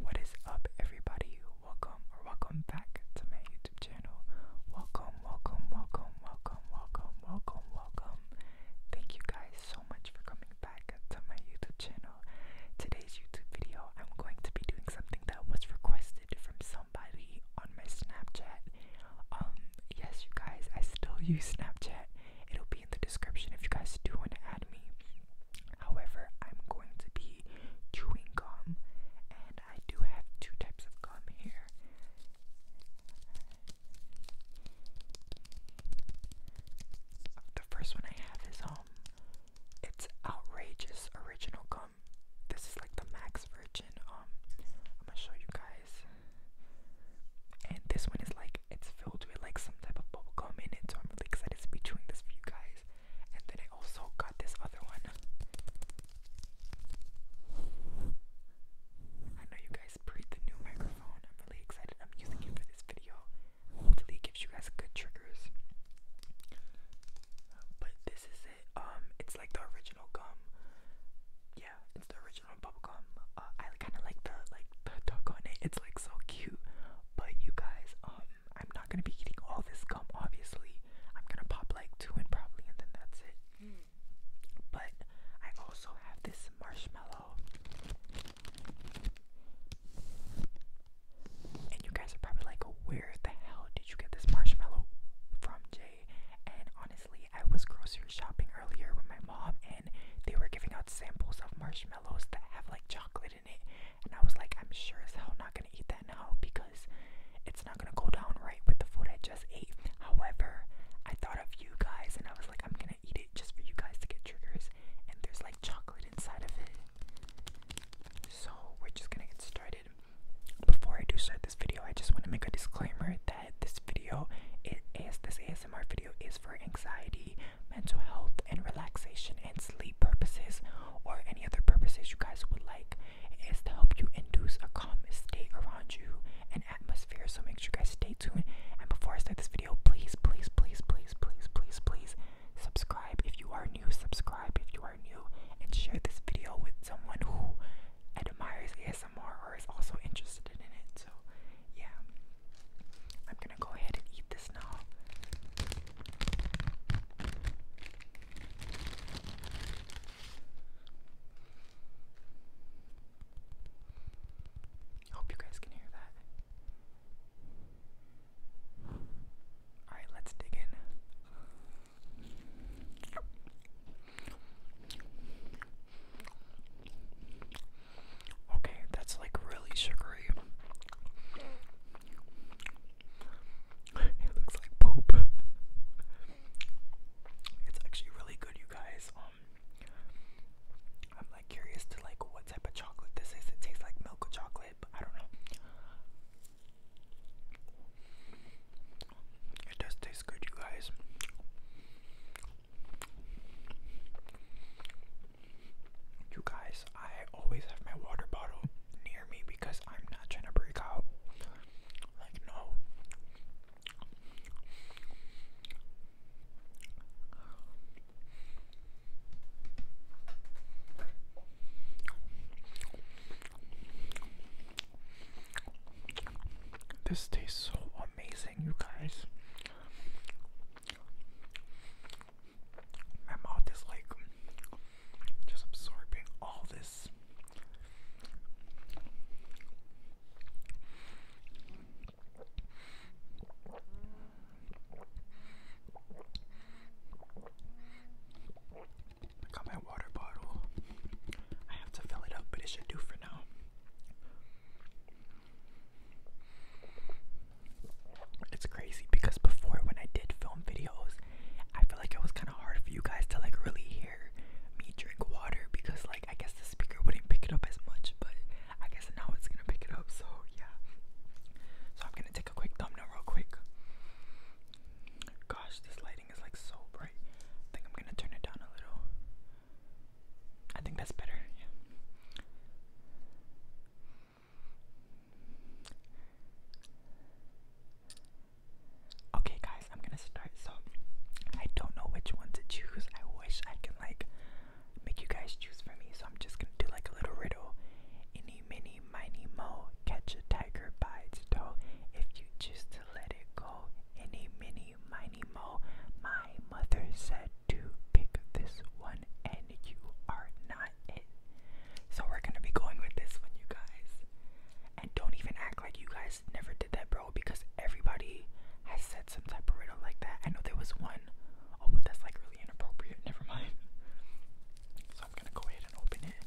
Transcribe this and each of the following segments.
What is up everybody? Welcome or welcome back to my YouTube channel. Welcome, welcome, welcome, welcome, welcome, welcome, welcome. Thank you guys so much for coming back to my YouTube channel. Today's YouTube video, I'm going to be doing something that was requested from somebody on my Snapchat. Um, yes you guys, I still use Snapchat. It'll be in the description if you guys do want to add me. However, I'm going to be chewing gum, and I do have two types of gum here. The first one I have is um, it's outrageous original gum. This is like the max virgin. Um, I'm gonna show you guys, and this one is like it's filled with like some type of bubble gum in it, so I'm really excited to be doing this for you guys. And then I also got this other one. I know you guys breathe the new microphone. I'm really excited. I'm using it for this video. Hopefully it gives you guys good triggers. But this is it. Um it's like the original gum. Yeah, it's the original bubblegum. Uh I kinda like the like the duck on it. It's like so cute. But you guys, um, I'm not gonna be eating all this gum, obviously. I'm gonna pop like two and probably, and then that's it. Hmm. But I also have this marshmallow, and you guys are probably like, "Where the hell did you get this marshmallow from, Jay?" And honestly, I was grocery shopping earlier with my mom, and they were giving out samples of marshmallows that have like chocolate and I was like, I'm sure as hell not gonna eat that now because it's not gonna go down right with the food I just ate. However, I thought of you guys and I was like, I'm gonna eat it just for you guys to get triggers. And there's like chocolate inside of it. So we're just gonna get started. Before I do start this video, I just wanna make a disclaimer that this video, it is this ASMR video is for anxiety, mental health, and relaxation and sleep purposes, or any other purposes you guys would like. It is to help you induce a calm state around you and atmosphere. So make sure you guys stay tuned. And before I start this video, please, please, please, please, please, please, please subscribe if you are new. Subscribe if you are new, and share this video with someone who admires ASMR or is also interested in it. So yeah, I'm gonna go ahead and eat this now. Hope you guys can hear that. Alright, let's dig in. Okay, that's like really sugary. It looks like poop. It's actually really good, you guys. Um, I'm like curious to like what type of chocolate this is. It tastes like milk chocolate, I don't know. It does taste good, you guys. You guys, I always have my water bottle near me because I'm not trying to break out. Like, no. This tastes so amazing, you guys my mouth is like just absorbing all this. I got my water bottle. I have to fill it up, but it should do for now. It's crazy because before when I did film videos, I feel like it was kind of hard for you guys to like really hear me drink water because like I guess the speaker wouldn't pick it up as much, but I guess now it's gonna pick it up. So yeah. So I'm gonna take a quick thumbnail real quick. Gosh, this lighting is like so bright. I think I'm gonna turn it down a little. I think that's better. Okay, guys, I'm gonna start. So, I don't know which one to choose. I wish I can like make you guys choose for me. So, I'm just gonna do like a little riddle. Any, mini, miny, mo, catch a tiger by its toe. If you choose let it go, any, mini, miny, mo. My mother said to pick this one and you are not it. So we're gonna be going with this one, you guys. And don't even act like you guys never did that, bro, because everybody has said some type of riddle like that. I know there was one. Oh, but that's like really inappropriate. Never mind. So I'm gonna go ahead and open it.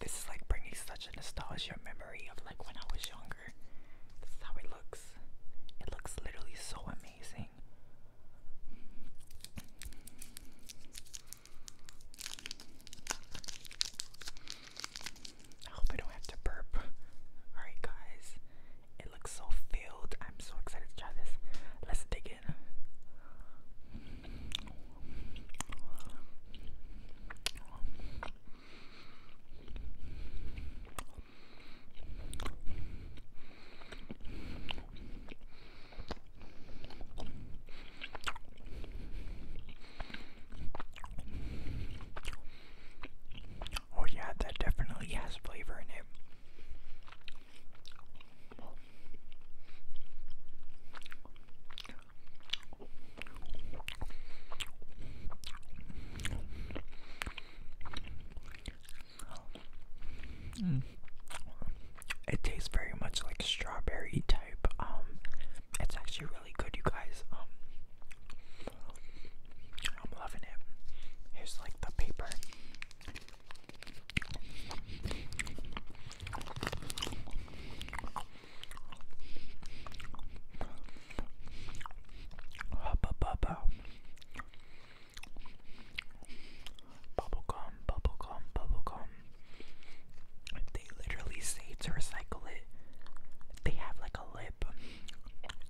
this is like bringing such a nostalgia memory of like when I was younger. This how it looks. It looks literally so amazing. I hope I don't have to burp. Alright, guys, it looks so filled. I'm so excited to try this. Let's dig in. Oh, yeah, that definitely has flavor in it. Mm. It tastes very much like strawberry type. Um, it's actually really good, you guys. Um, I'm loving it. Here's like the paper. Bubble gum, bubble gum, bubble gum. They literally say to recycle it. They have like a lip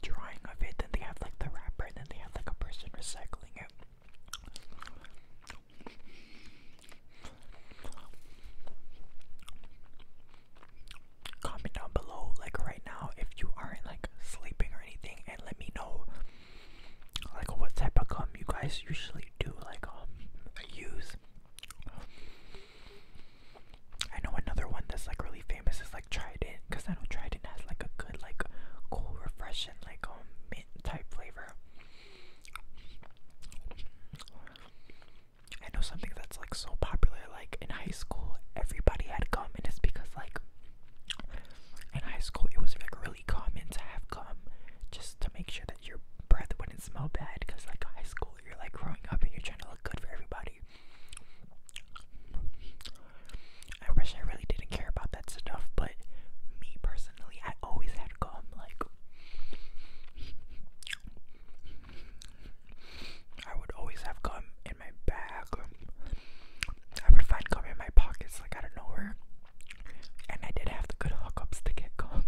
drawing of it, then they have like the wrapper, and then they have like a person recycling it. Comment down below, like right now, if you aren't like sleeping or anything, and let me know, like what type of gum you guys usually do, like um, use. I know another one that's like really famous is like Trident, cause I know Trident has like a good like cool, refreshing like um mint type flavor. I know something that's like so popular, like in high school, everybody had gum, and it's because like in high school it was like really common to have gum, just to make sure that your breath wouldn't smell bad, because like high school you're like growing up and you're trying to look good for everybody. I wish I really didn't care about that stuff, but me personally, I always had gum, like I would always have gum in my bag. I would find gum in my pockets like I don't know where. And I did have the good hookups to get gum.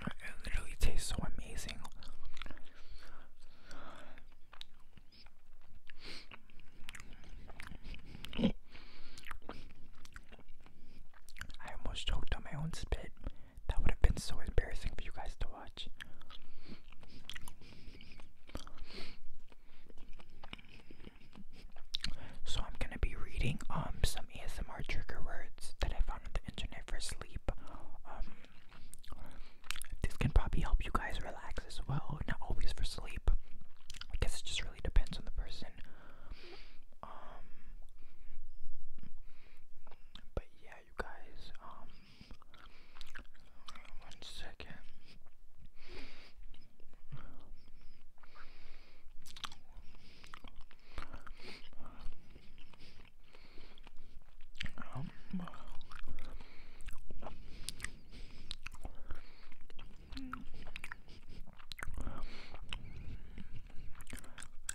It really tastes so amazing. I almost choked on my own spit. That would have been so embarrassing for you guys to watch. So I'm gonna be reading um some ASMR trigger words that I found on the internet for sleep. Um, this can probably help you guys relax as well. Not always for sleep. I guess it just really depends on the person. Um, but yeah, you guys. Um, one second.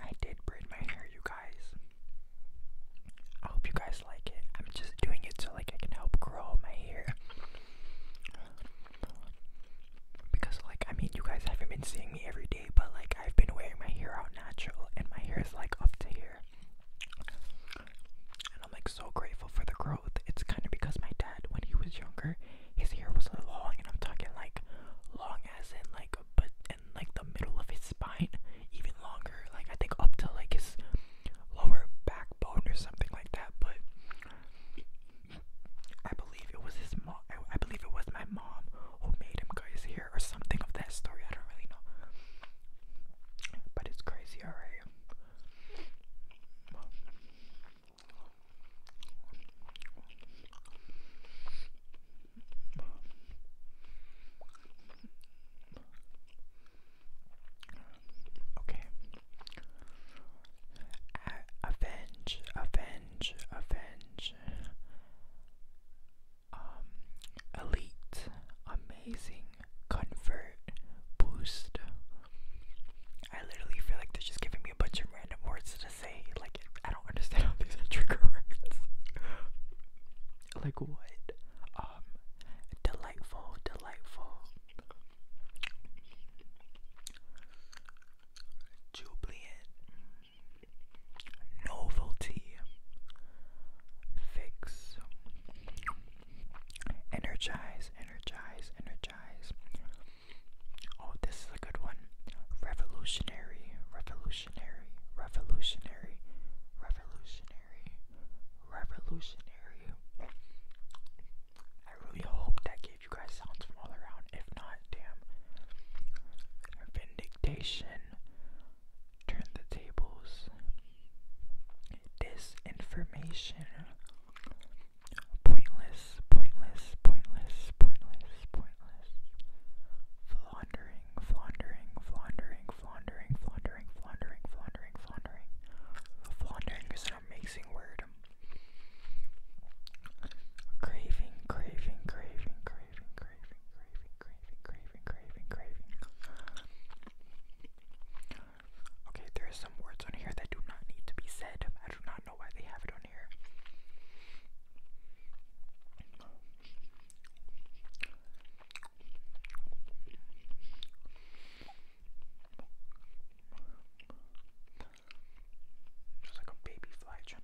I did braid my hair, you guys. I hope you guys like it. I'm just doing it so like I can help grow my hair. Because like I mean you guys haven't been seeing me every day, but like I've been wearing my hair out natural and my hair is like up to here. And I'm like so grateful for the growth. It's kind of because my dad, when he was younger, his hair was long, and I'm talking like long as in like but in like the middle of his spine, even longer, like I think up to like his lower backbone or something like that. But I believe it was his mom. I, I believe it was my mom who made him cut his or something of that story. I don't really know. But it's crazy, alright? Okay. avenge, avenge, avenge. Um, elite, amazing, convert, boost. I literally feel like they're just giving me a bunch of random words to say. Like, I don't understand how these are trigger words. like, what? Um, delightful, delightful. Jubilant novelty, fix, energize, energize, energize. Oh, this is a good one. Revolutionary, revolutionary, revolutionary, revolutionary, revolutionary. I really hope that gave you guys sounds from all around. If not, damn. Vindication, turn the tables. Disinformation. Pointless, pointless, pointless, pointless, pointless. Floundering, floundering, floundering, floundering, floundering, floundering, floundering, floundering. Floundering is an amazing word. Craving, craving, craving, craving. Okay, there are some words on here that do not need to be said. I do not know why they have it on here. Just like a baby fly trying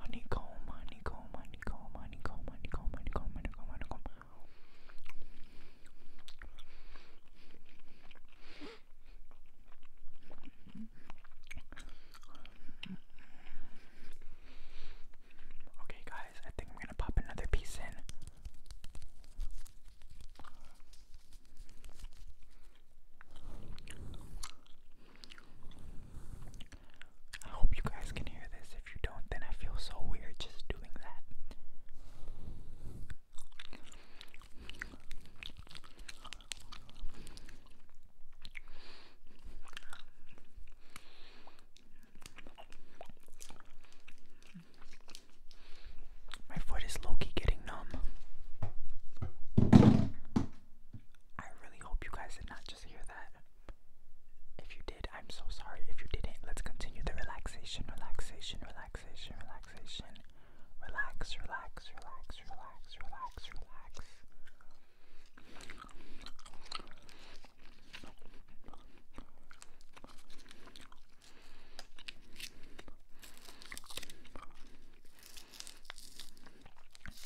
Honeycomb, honeycomb, honeycomb, honeycomb, honeycomb, honeycomb, honeycomb, honeycomb. Okay, guys, I think I'm gonna pop another piece in. I hope you guys can hear this. If you don't, then I feel so weird just doing that. My foot is low getting numb. I really hope you guys did not just hear that. If you did, I'm so sorry. If you didn't, let's continue the relaxation, relaxation, relaxation, relaxation. Relax, relax, relax, relax, relax, relax. It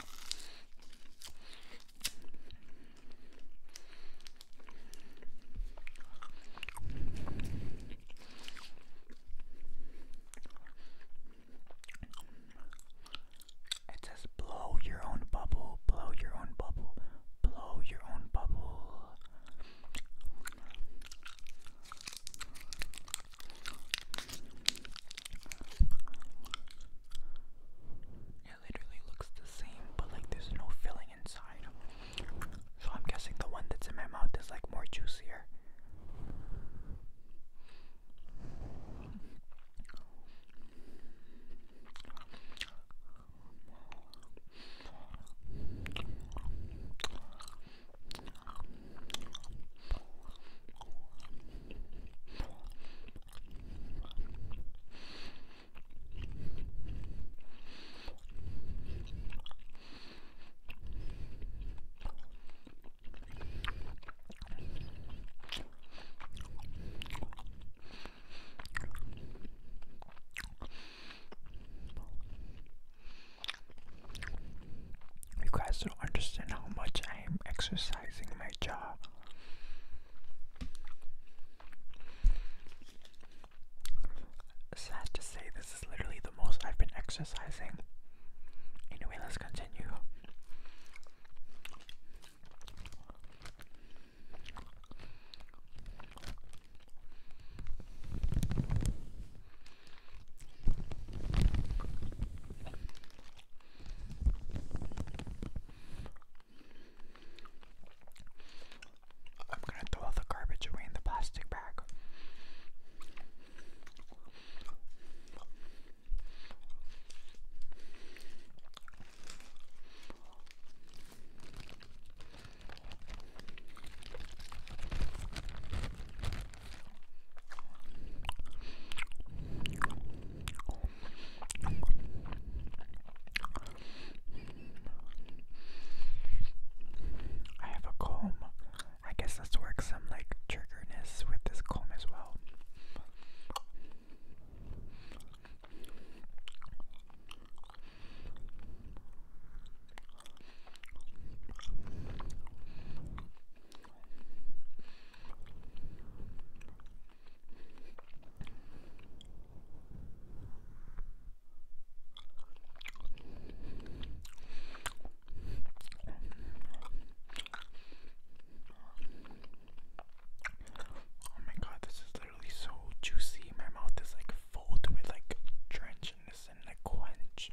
says blow your own bubble, blow your own bubble, blow your own bubble. It literally looks the same, but like there's no filling inside. So I'm guessing the one that's in my mouth is like more juicier. You guys don't understand how much I am exercising my jaw Sad to say, this is literally the most I've been exercising. Anyway, let's continue. I'm gonna throw the garbage away in the plastic bag. I have a comb. I guess let's work some like triggerness with this comb as well. Oh my god, this is literally so juicy. My mouth is like full to it, like drenchiness and like quench.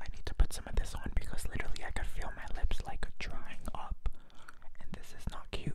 I need to put some of this on because literally I could feel my lips like drying up, and this is not cute.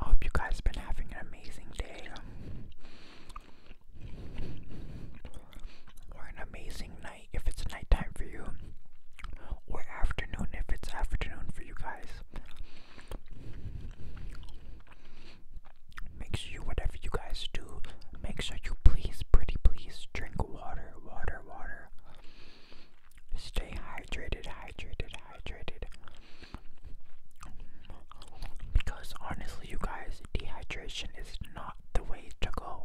I hope you guys been having an amazing day or an amazing night if it's nighttime for you, or afternoon if it's afternoon for you guys make sure you, whatever you guys do, make sure you please, pretty please, drink water, water, water. Stay hydrated, hydrated, hydrated. Because honestly, you guys, dehydration is not the way to go.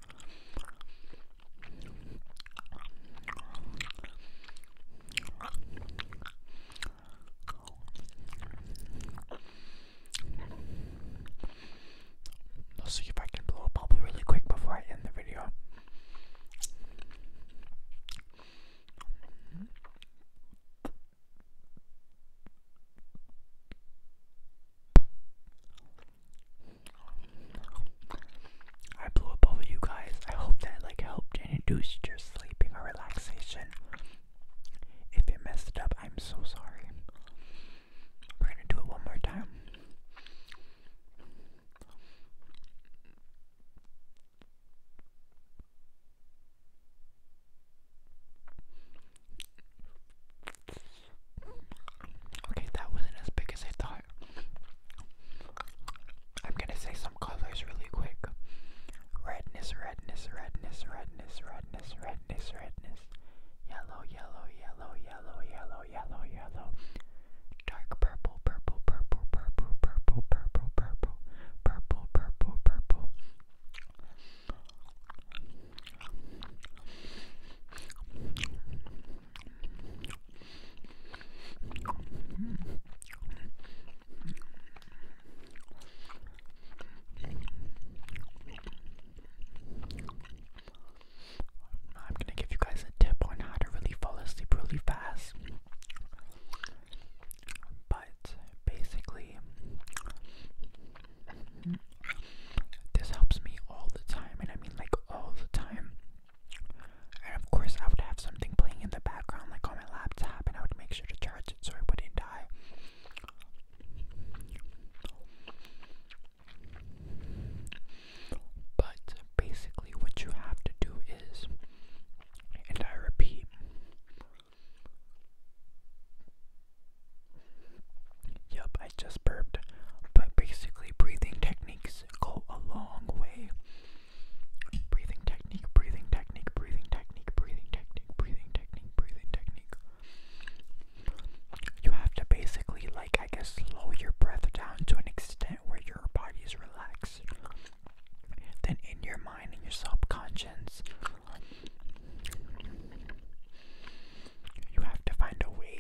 I'll see if I can blow a bubble really quick before I end the video. I blew up over you guys. I hope that like helped and induced your sleeping or relaxation. If it messed it up, I'm so sorry. We're gonna do it one more time. Okay, that wasn't as big as I thought. I'm gonna say some colors really quick. Redness, redness, redness, redness, redness, redness, redness. Yellow, yellow, yellow, yellow, yellow, yellow, yellow. Dark purple, purple, purple, purple, purple, purple, purple, purple, purple, purple. I'm going to give you guys a tip on how to really fall asleep really fast. But basically, this helps me all the time, and I mean like all the time. And of course, I would have something playing in the background, like on my laptop, and I would make sure to charge it so it wouldn't die. But basically, what you have to do is, and I repeat, Yup, I just burped. But basically, breathing techniques go a long way. Breathing technique, breathing technique, breathing technique, breathing technique, breathing technique, breathing technique. You have to basically, like, I guess, slow your breath down to an extent where your body is relaxed. Then, in your mind and your subconscious, you have to find a way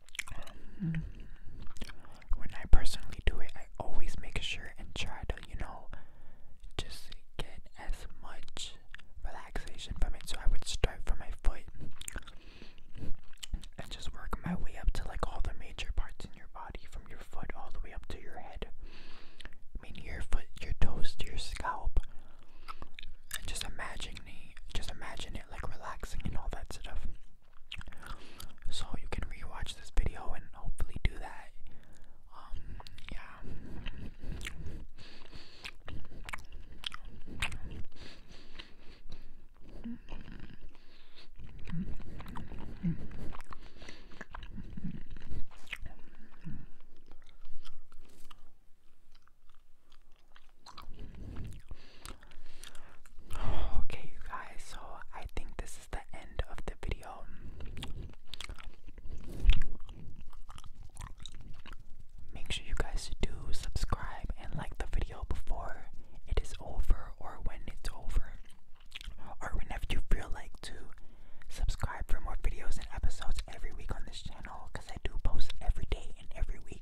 um, when I personally do it, I always make sure and try to, you know, just get as much relaxation from it. So I would start from my foot and just work my way up to like all the major parts in your body, from your foot all the way up to your head. Meaning your foot, your toes, to your scalp. And just imagining, just imagine like relaxing and all that stuff. So you can rewatch this video and hopefully do that. Um, yeah. Okay, you guys, so I think this is the end of the video. Make sure you guys do subscribe and like the video before it is over or when it's over, or whenever you feel like to subscribe for more videos and episodes every week on this channel because I do post every day and every week.